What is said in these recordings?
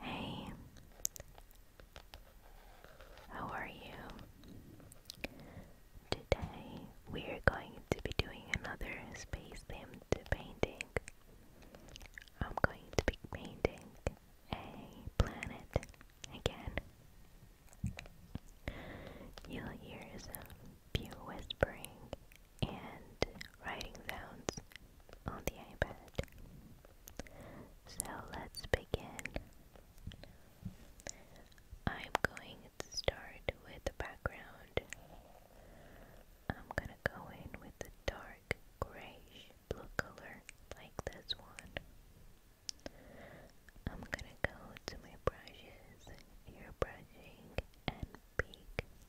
Hey, how are you? Today we are going to be doing another space themed painting. I'm going to be painting a planet again. You'll hear some few whispering and writing sounds on the iPad. So let's begin. I'm going to start with the background. I'm gonna go in with the dark grayish blue color like this one. I'm gonna go to my brushes, ear and Pick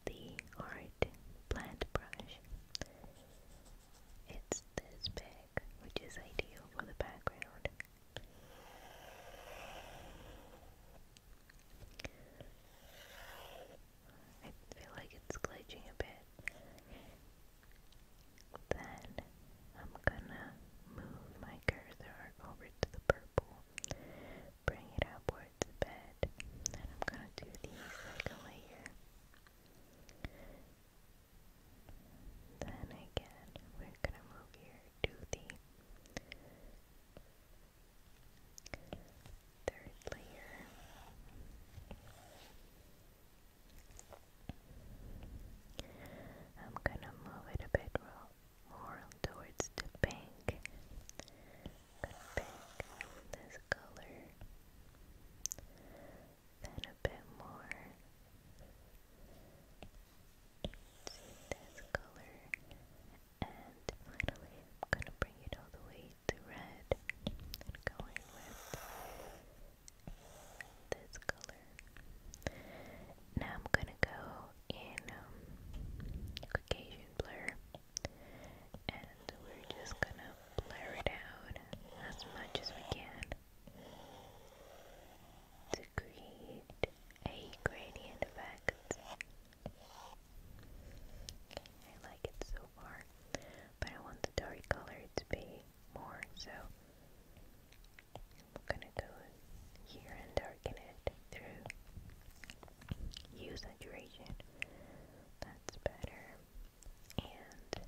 the Art Plant Brush. It's this big, which is ideal for the background. I feel like it's glitching a bit. Then I'm gonna move my cursor over to the purple bring it upward to bed. And I'm gonna do these like layer. Then again, we're gonna move here to the third layer. I'm gonna move it a bit more towards the pink pick this color, then a bit more. this color, and finally I'm gonna bring it all the way to red, going with this color. Now I'm gonna go in um, Caucasian blur and we're just gonna blur it out as much as we can to create a gradient effect. I like it so far, but I want the dark color to be more, so I'm gonna go here and darken it through use a duration. That's better. And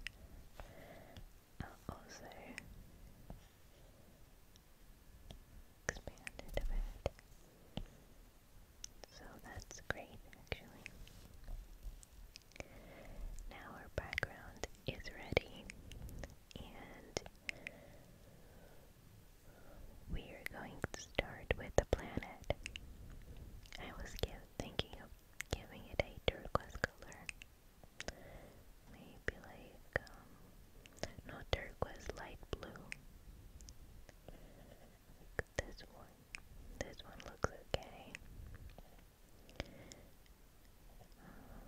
uh, also expand it So that's great actually. Now our background is ready and we are going to start with the planet. I was thinking of giving it a turquoise color. Maybe like, um, not turquoise, light blue. this one. This one looks okay. Um,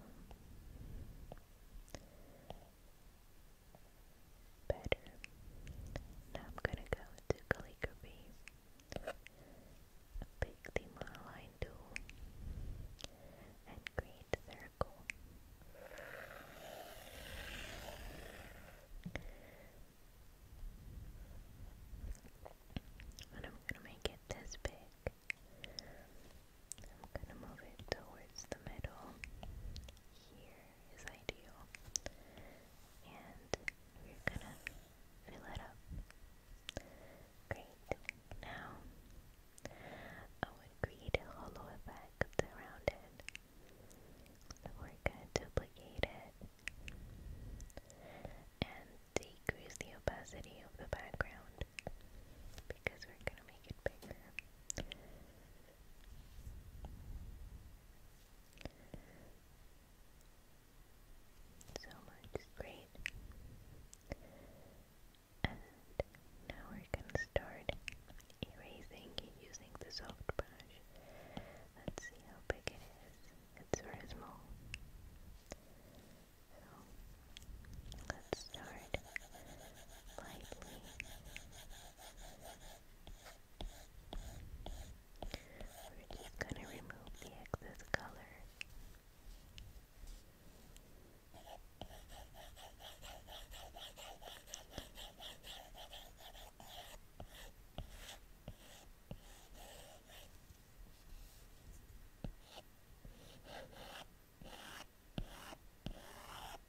better. Now I'm gonna go to calligraphy, pick the monoline tool, and create circle. And I'm gonna make it this big. I'm gonna move it towards the middle here is ideal. And we're gonna fill it up. Great. Now, I would create a hollow effect around it. we're gonna duplicate it and decrease the opacity of the background because we're gonna make it bigger. So much is great. And now we're gonna start erasing using the soft brush. Let's see how big it is. It's very small. So let's start lightly. We're just gonna remove the excess color.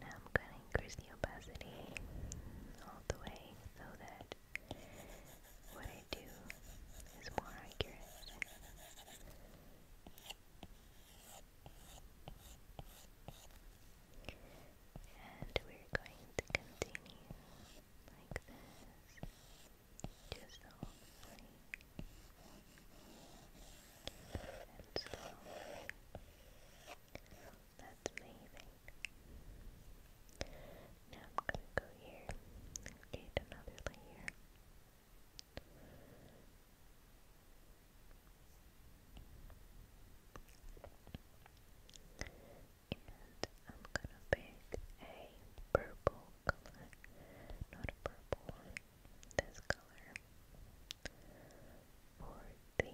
Now I'm going to increase the opacity all the way so that what I do is more accurate. And we're going to continue like this. Just the and so that's amazing. Now I'm gonna go here, create another layer. And I'm gonna pick a purple color, not a purple this color for the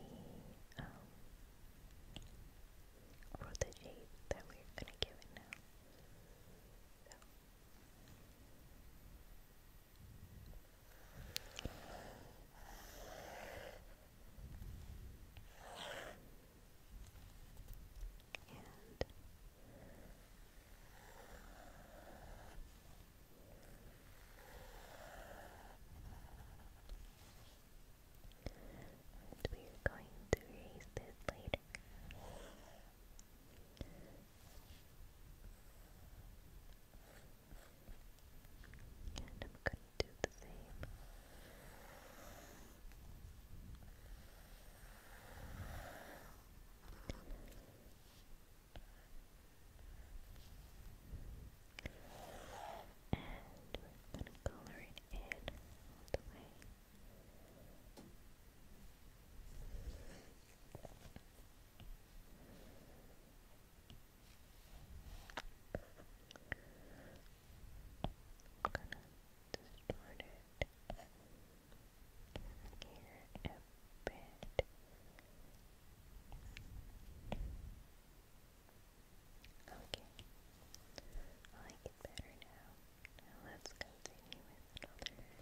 um for the shade that we're gonna give it now. So and and we are going to erase this later. And I'm going to do the same. And we're going to color it in all the way. I'm gonna distort it here and bed. Okay. I like it better Now let's continue with another.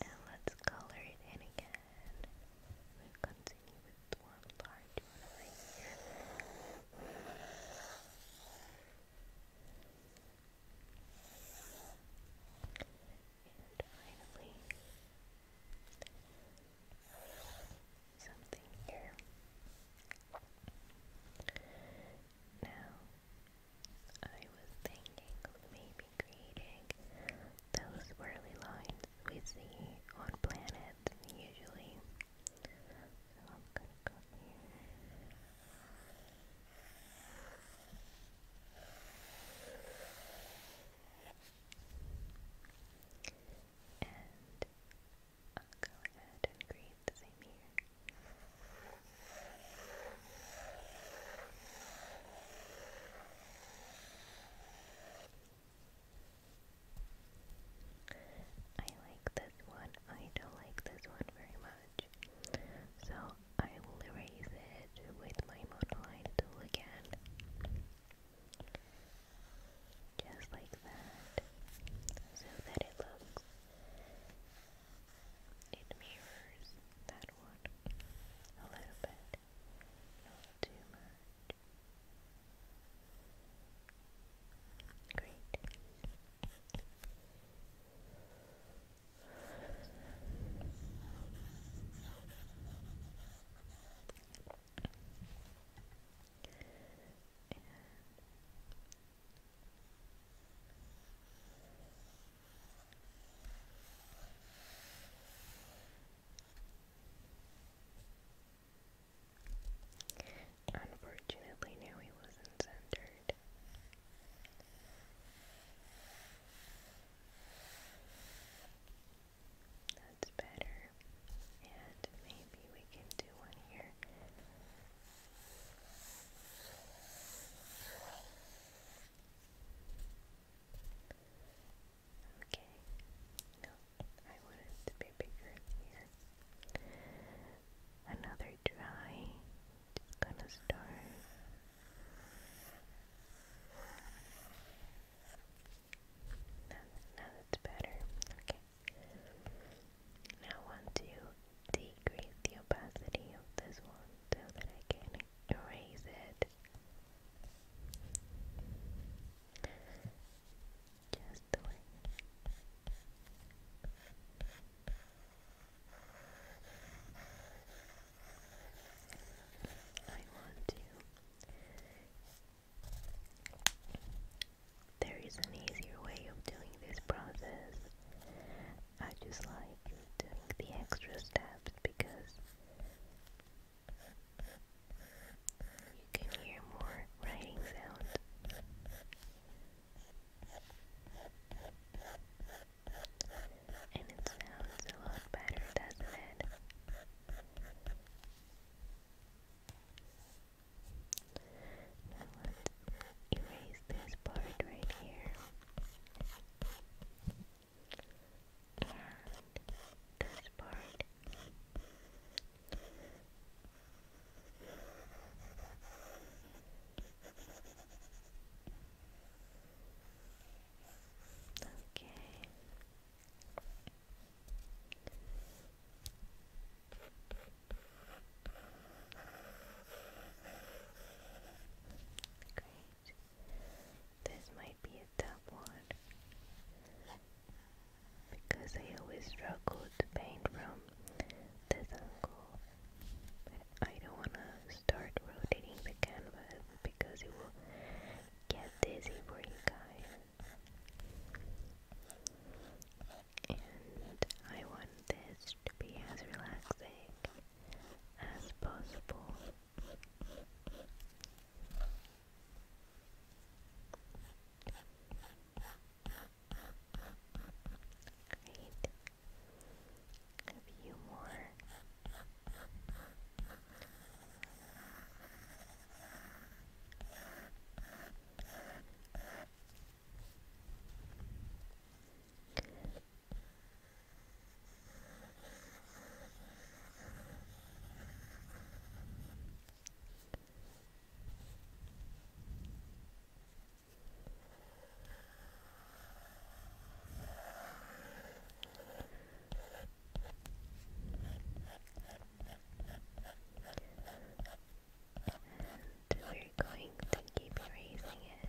And let's color it in again then we continue with one large And finally, something here. Now, I was thinking of maybe creating those swirly lines we see on planet usually. And I'll go ahead and create the same here. I like this one. I don't like this one very much. So I will erase it with my monoline tool again. Just like that. So that it looks it mirrors that one a little bit not too much. Great. Unfortunately, now he wasn't centered. That's better. And maybe we can do one here. Okay. No, I want it to be bigger here. Another try. gonna start. Now, now that's better. Okay. Now want to decrease the opacity of this one so that I can erase it. Just do it. I want to. There is an easier way of doing this process. I just like doing the extra steps because you can hear more writing sound. And it sounds a lot better, doesn't it? let's erase this part right here and this part okay Great. This might be a tough one because I always struggle to paint from the angle. But I don't want to start rotating the canvas because it will get dizzy for you guys. And I want this to be as relaxing as possible. Great. A few more. And we're going to keep raising it.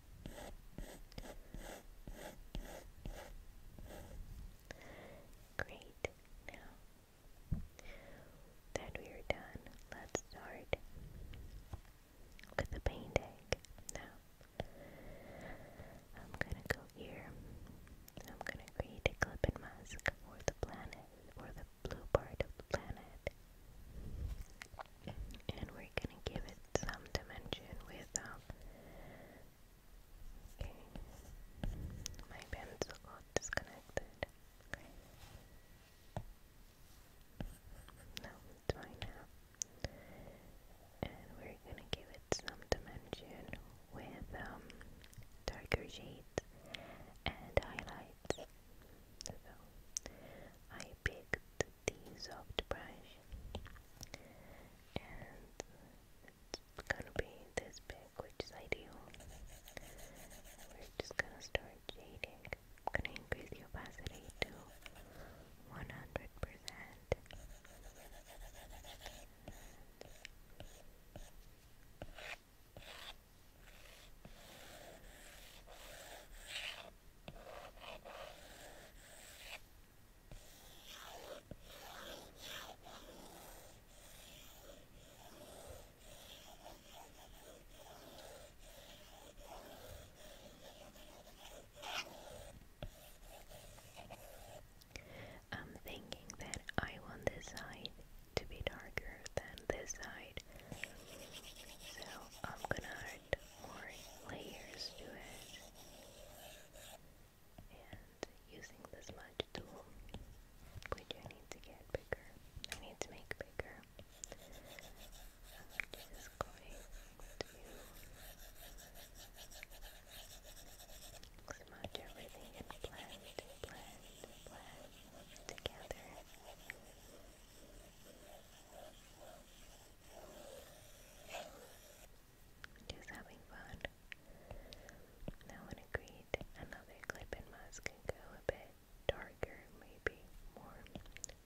Great. Now that we are done, let's start with the painting. Now, I'm gonna go here. I'm gonna create a clip and mask for the planet, for the blue part of the planet. And we're gonna give it some dimension with my pencil disconnected no, it's fine now. And we're gonna give it some dimension with um, darker shades and highlights. I picked the soft brush and it's gonna be this big which is ideal we're just gonna start shading I'm gonna increase the opacity to 100% I'm thinking that I want this side to be darker than this side, so I'm gonna more layers to it. And using this smudge tool, which I need to get bigger, I need to make bigger. I'm just going to smudge everything and blend, blend, blend together. Just having fun. I want to create another clip and mask and go a bit darker, maybe more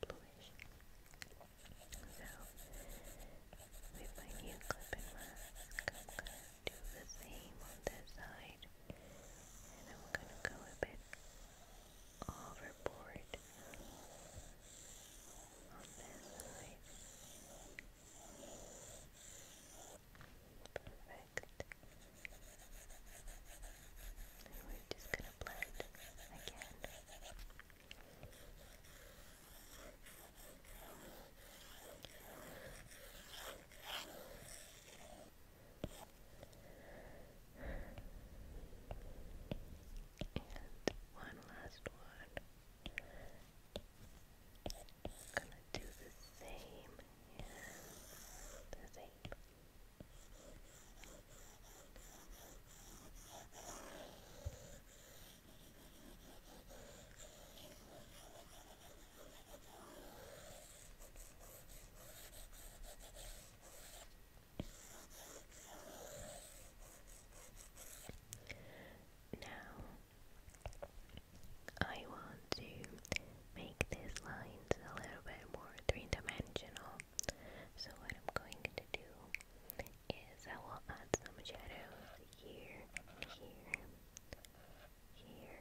bluish. So, with my new clip and mask, I'm going to do the same on this side. And I'm going to go a bit overboard on this side. Perfect. we're just going to blend again. And one last one. gonna do the same. the same. Now, I want to make these lines a little bit more three dimensional. So, what I'm going to do is I will add some shadows here, here, here,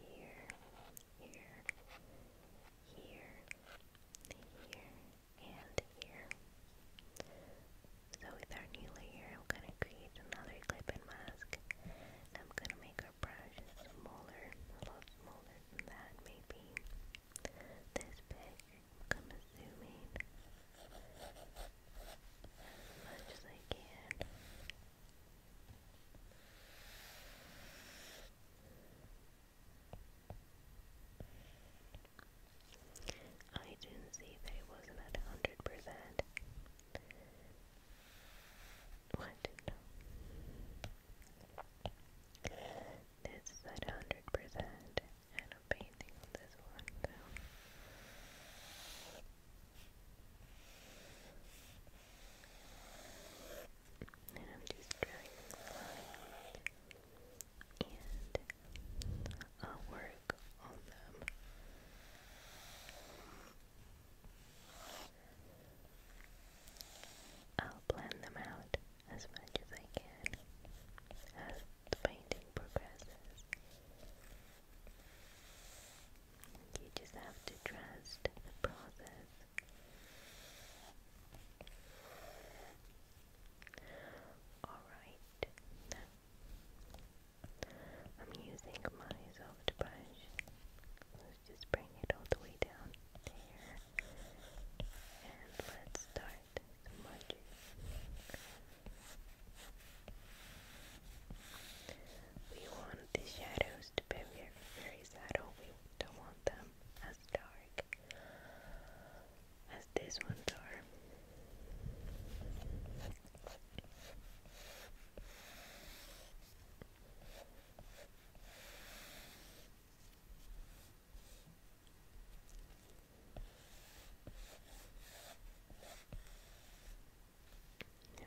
here, here, here, here, and here. So with our new layer, I'm going to create another clip mask. I'm going to make our brush smaller, a lot smaller than maybe. This big, I'm going to zoom in as much as I can. I didn't see that it wasn't at 100%. What? No. This is 100%, and i painting on this one, and I'm just drawing them and I'll uh, work on them. I'll plan them out as much as I can as the painting progresses. You just have to trust the process Alright, now I'm using my soft brush. Let's just bring it all the way down there. And let's start smudging. We want the shadows to be very, very subtle. We don't want want them as dark as these ones are. Yeah.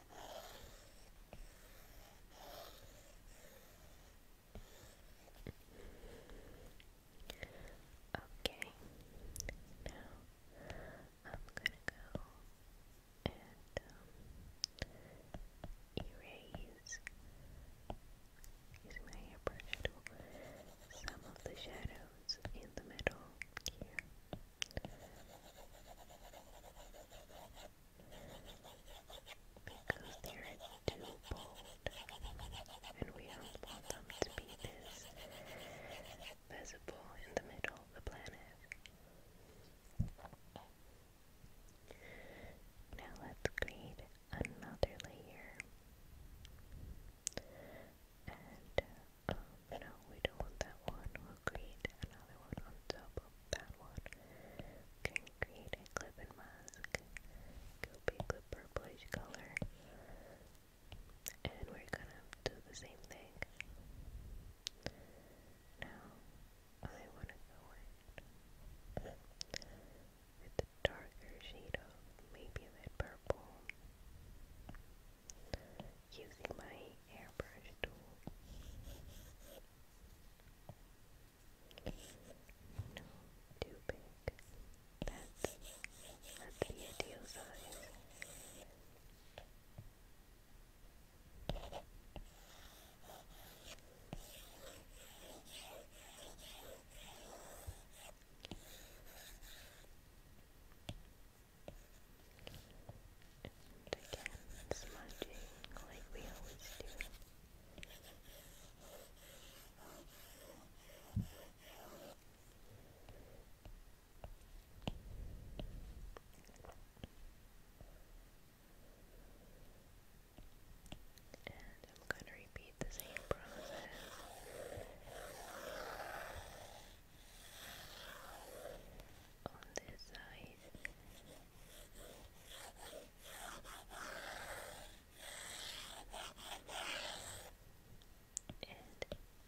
Okay, now I'm gonna go and um, erase, using my airbrush tool, some of the shadows in the middle here. Because they're too bold, and we don't want them visible in the middle of the planet. Now let's create another layer uh, no, we don't want that one. We'll create another one on top of that one. Can create a clip and mask. Go pick a purplish color. And we're gonna do the same thing. Now I wanna go in with the darker shade of maybe that purple using my airbrush tool. No, too big. That's the ideal size. And again, smudging like we always do. And I'm going to repeat the same process on this side. And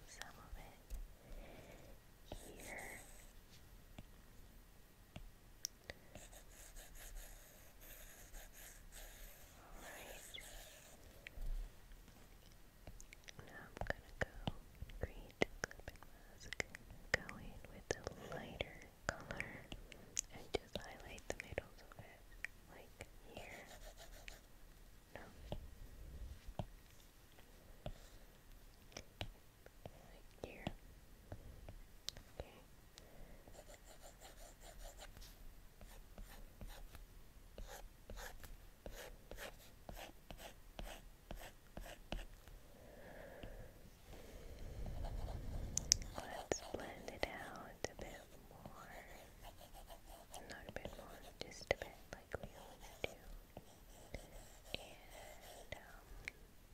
some of it here. All right. Now I'm gonna go create clip mask, go in with a lighter color and just highlight the middles of it, like here. No. Like here. Okay. Let's blend it out a bit more. Not a bit more, just a bit like we always do. And um,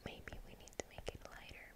maybe we need to make it lighter.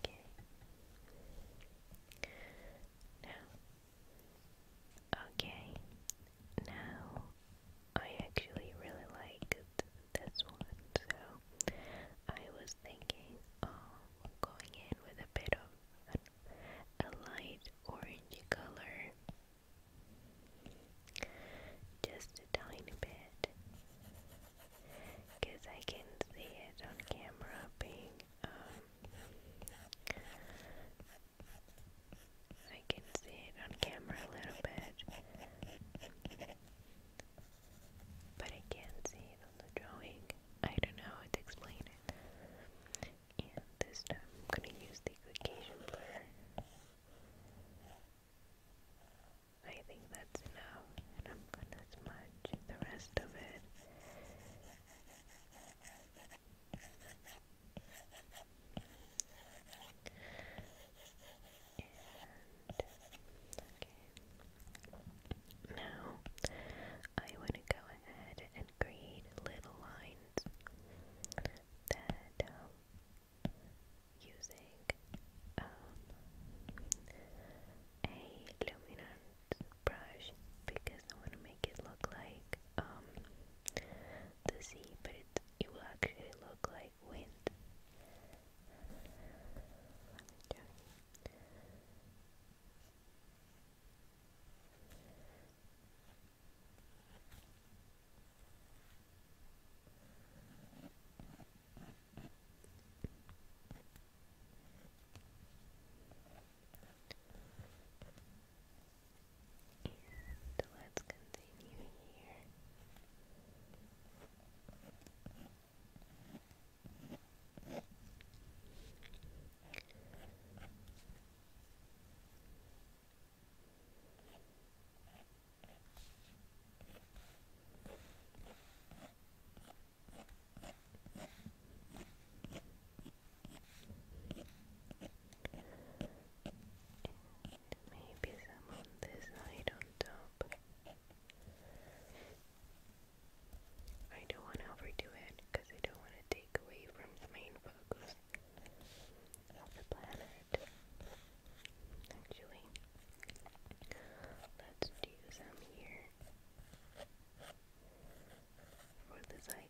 Okay. Now, okay. Now, I actually really liked this one, so I was thinking of going in with a bit of a light orange color. Just a tiny bit. Because I can see it on camera being I can see it on camera a little bit, but I can't see it on the drawing. I don't know how to explain it. this time I'm gonna use the occasion blur. I think that's enough, and I'm gonna smudge the rest of it. And, okay. Now, I want to go ahead and create little lines that um, using um, a luminance brush because I want to make it look like um the sea, but it it will actually look like wind. And let's continue here maybe some on this side on top. I don't want to overdo it because I don't want to take away from the main focus of the planet. Actually, let's do some here for the cycle.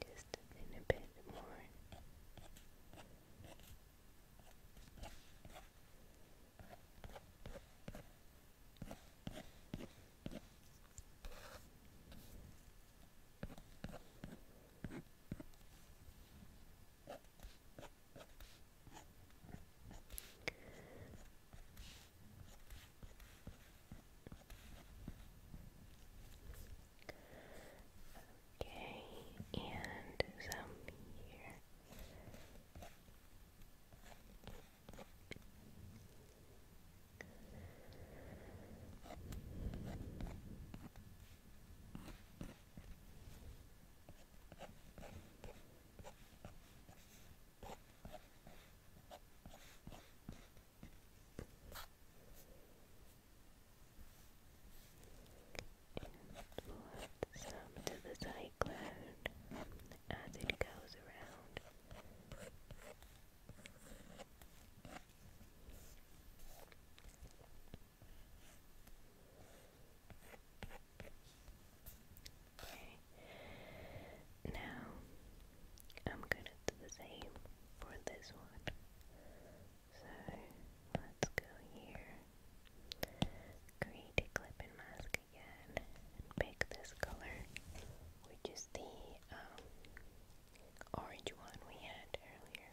Just a bit more. Okay, and some here. And some to the cyclone as it goes around. Now I'm gonna do the same for this one. So let's go here, create a clipping mask again, pick this color, which is the um, orange one we had earlier.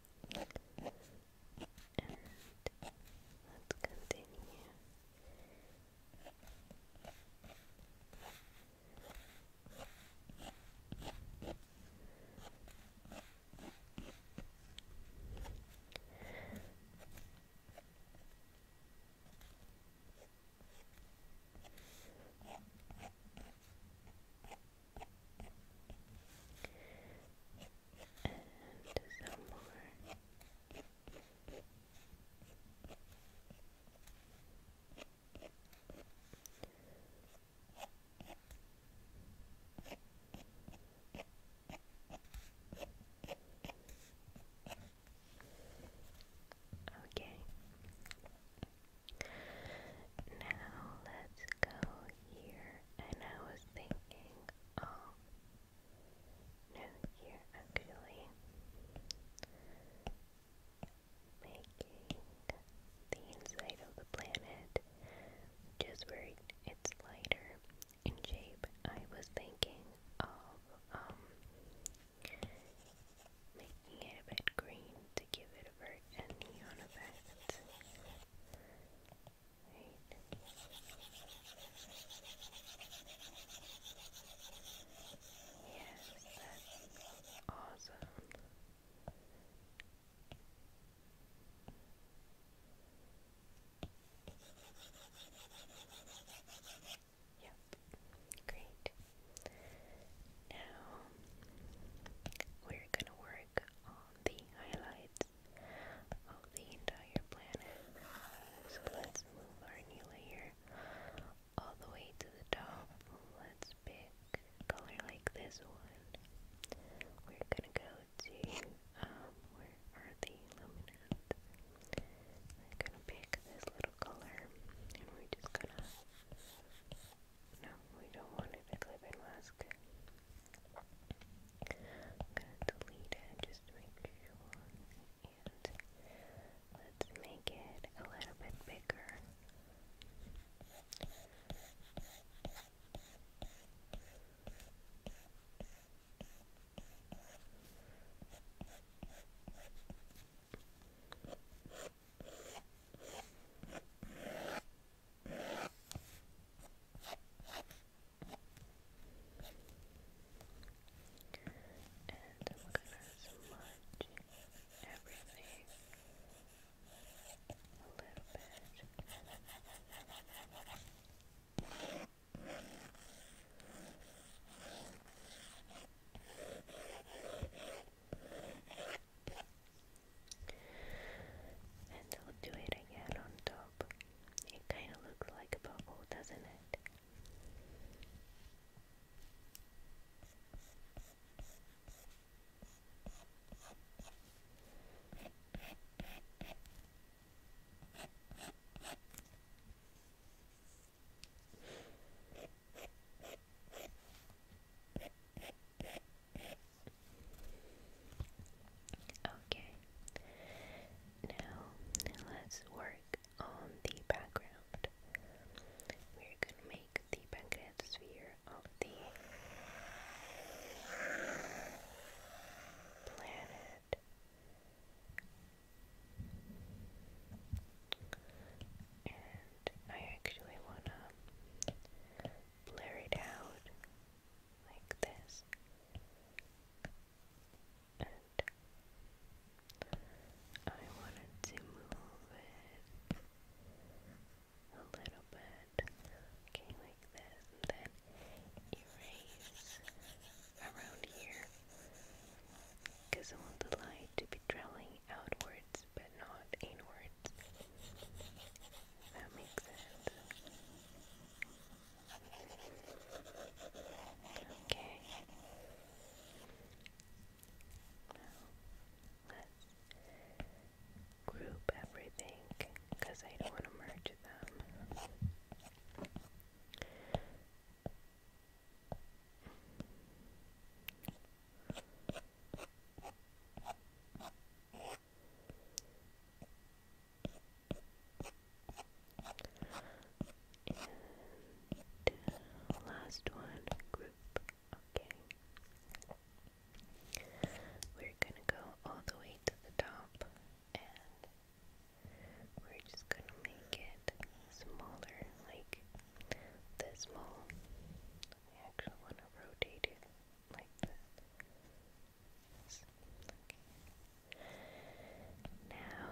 And let's continue and some more. Okay. Now let's go here and I was thinking, um, oh, here actually making the inside of the planet, which where it's lighter in shape. I was thinking of um making it a bit green to give it a very neon effect. Right. Yes, awesome. Yep, great. Now we're going to work on the highlights of the entire planet. So let's move our new layer all the way to the top. Let's pick color like this one. We're gonna go to, um, where are the luminance? We're gonna pick this little color and we're just gonna. No, we don't want it to clip and mask. I'm gonna delete it just to make sure. let's make it a little bit bigger. And I'm gonna smudge everything a little bit. And I'll do it again on top. It kind of looks like a bubble, doesn't it? Okay. Now let's work on the background. We're gonna make the sphere of the planet. And I actually wanna blur it out like this, and I wanted to move it a little bit, okay, like this, then erase around here because I want the light to be trailing outwards but not inwards. If that makes sense. Okay. Now, let's group everything because I don't want to merge them. Okay. And last one, group. Okay. We're gonna go all the way to the top and we're just gonna make it smaller, like this small. I actually wanna rotate it like Yes. Okay. Now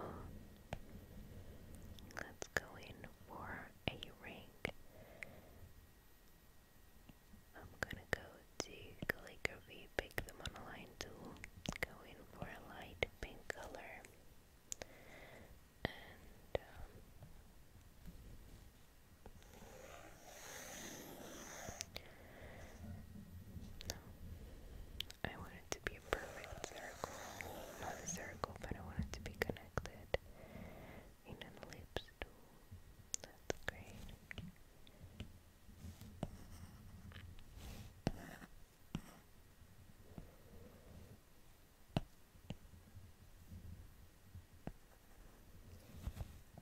let's go in for a ring. I'm gonna go to calligraphy, pick the monoline tool, go in for a light pink color, um, no. I want it to be a perfect circle. Not a circle, but I want it to be connected in an ellipse That's great. Okay.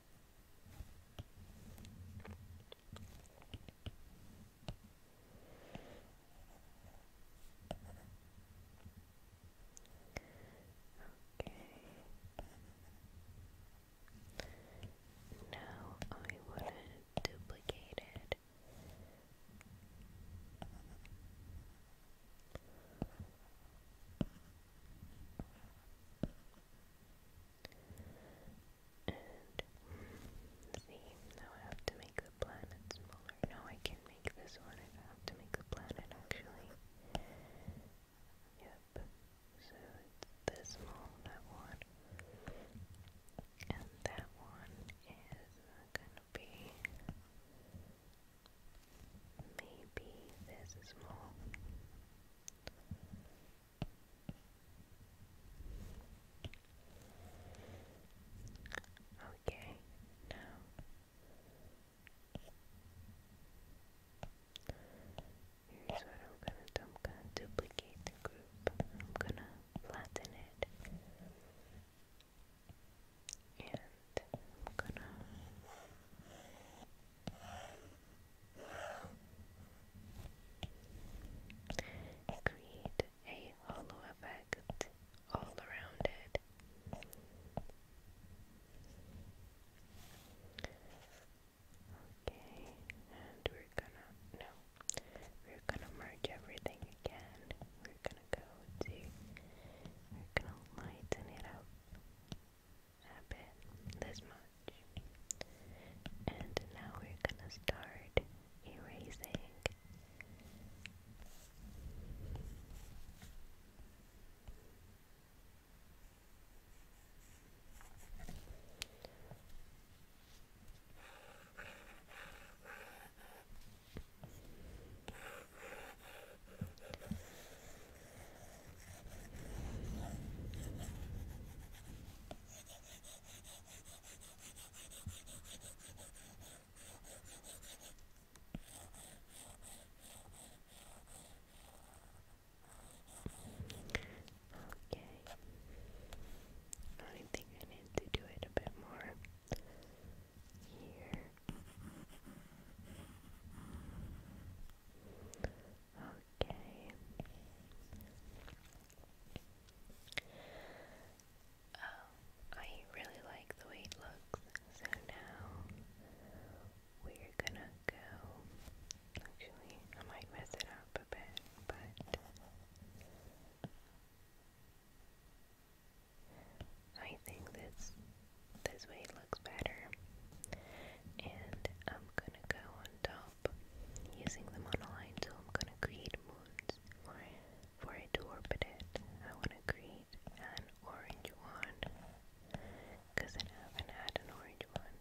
Now I want to duplicate it. And see, now I have to make the planet smaller. No, I can make this one. I have to make the planet actually. Yep. So it's this small, that one. And that one is gonna be maybe this small. Okay, now here's what I'm gonna do. I'm gonna duplicate the group. I'm gonna flatten it. And I'm gonna Create a hollow effect all around it. Okay, and we're gonna no, we're gonna merge everything again. We're gonna go to, we're gonna lighten it up a bit, this much. And now we're gonna start erasing. Okay. I think I need to do it a bit more here. Okay. Um, I really like the way it looks, so now we're gonna go. Actually, I might mess it up a bit, but I think this this way it looks better. And I'm gonna go on top using the monoline tool. I'm gonna create moons for it to orbit it. I wanna create an orange one because I haven't had an orange one.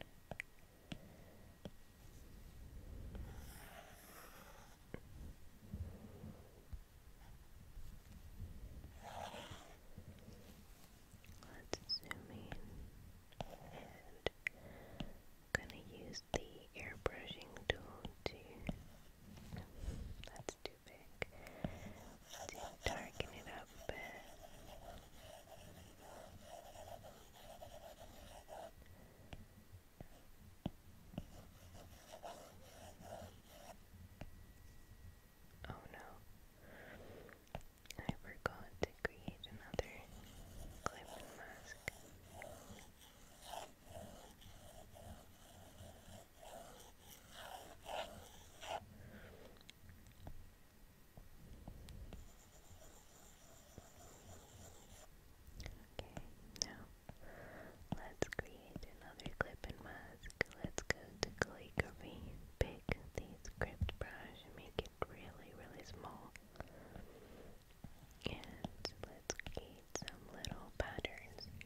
Let's zoom in. gonna use the airbrushing tool to. that's too big. To darken it up Oh no. I forgot to create another clip and mask. Okay, now let's create another clip and mask. Let's go to calligraphy, pen, take the brush make it really, really small. And let's create some little patterns inside.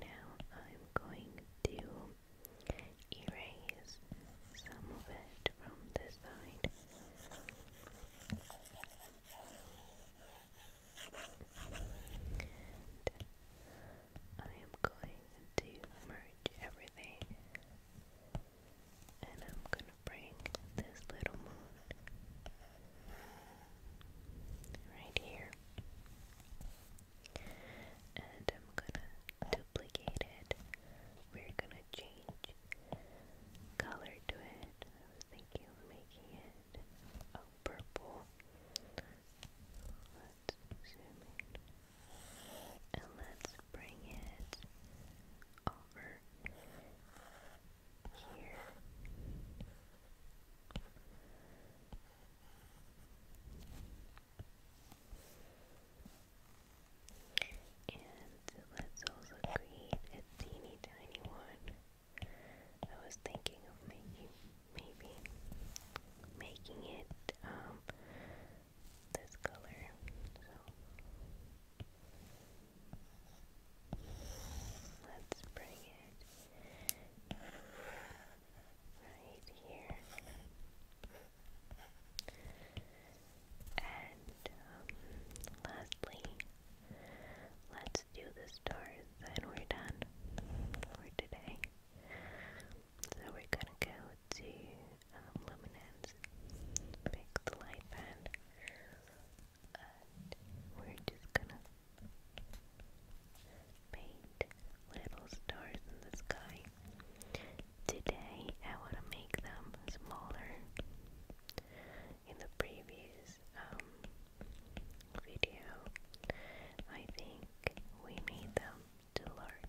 Now I'm going to erase some of it from this side. I am going to merge everything. And I'm going to bring this little moon right here. And I'm going to duplicate it. We're going to change color to it. I was thinking of making it a purple. Let's zoom in. And let's bring it over here. And let's also create a teeny tiny one. I was thinking of making maybe making it um this color. So let's bring it right here. And um, lastly, let's do the stars and we're done for today. So we're gonna go to um, Luminance, pick the light band, and we're just gonna paint little stars in the sky. Today I wanna make them smaller. In the previous um, video. I think we need them to lurk.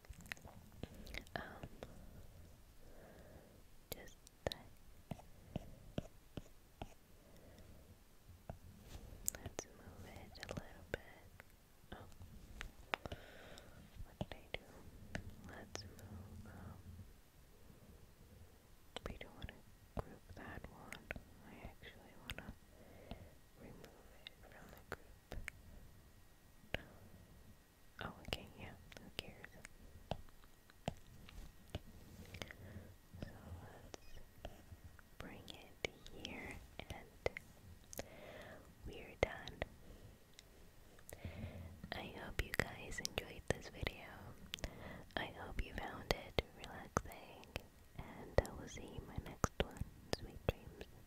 um, just Let's move it a little bit. Oh, what did I do? Let's move. we don't want to group that one. I actually want to remove it from the group. Oh, okay, yeah, who cares? So let's bring it here and we're done. I hope you guys enjoyed this video. I hope you found it relaxing and I will see my next one. Sweet dreams.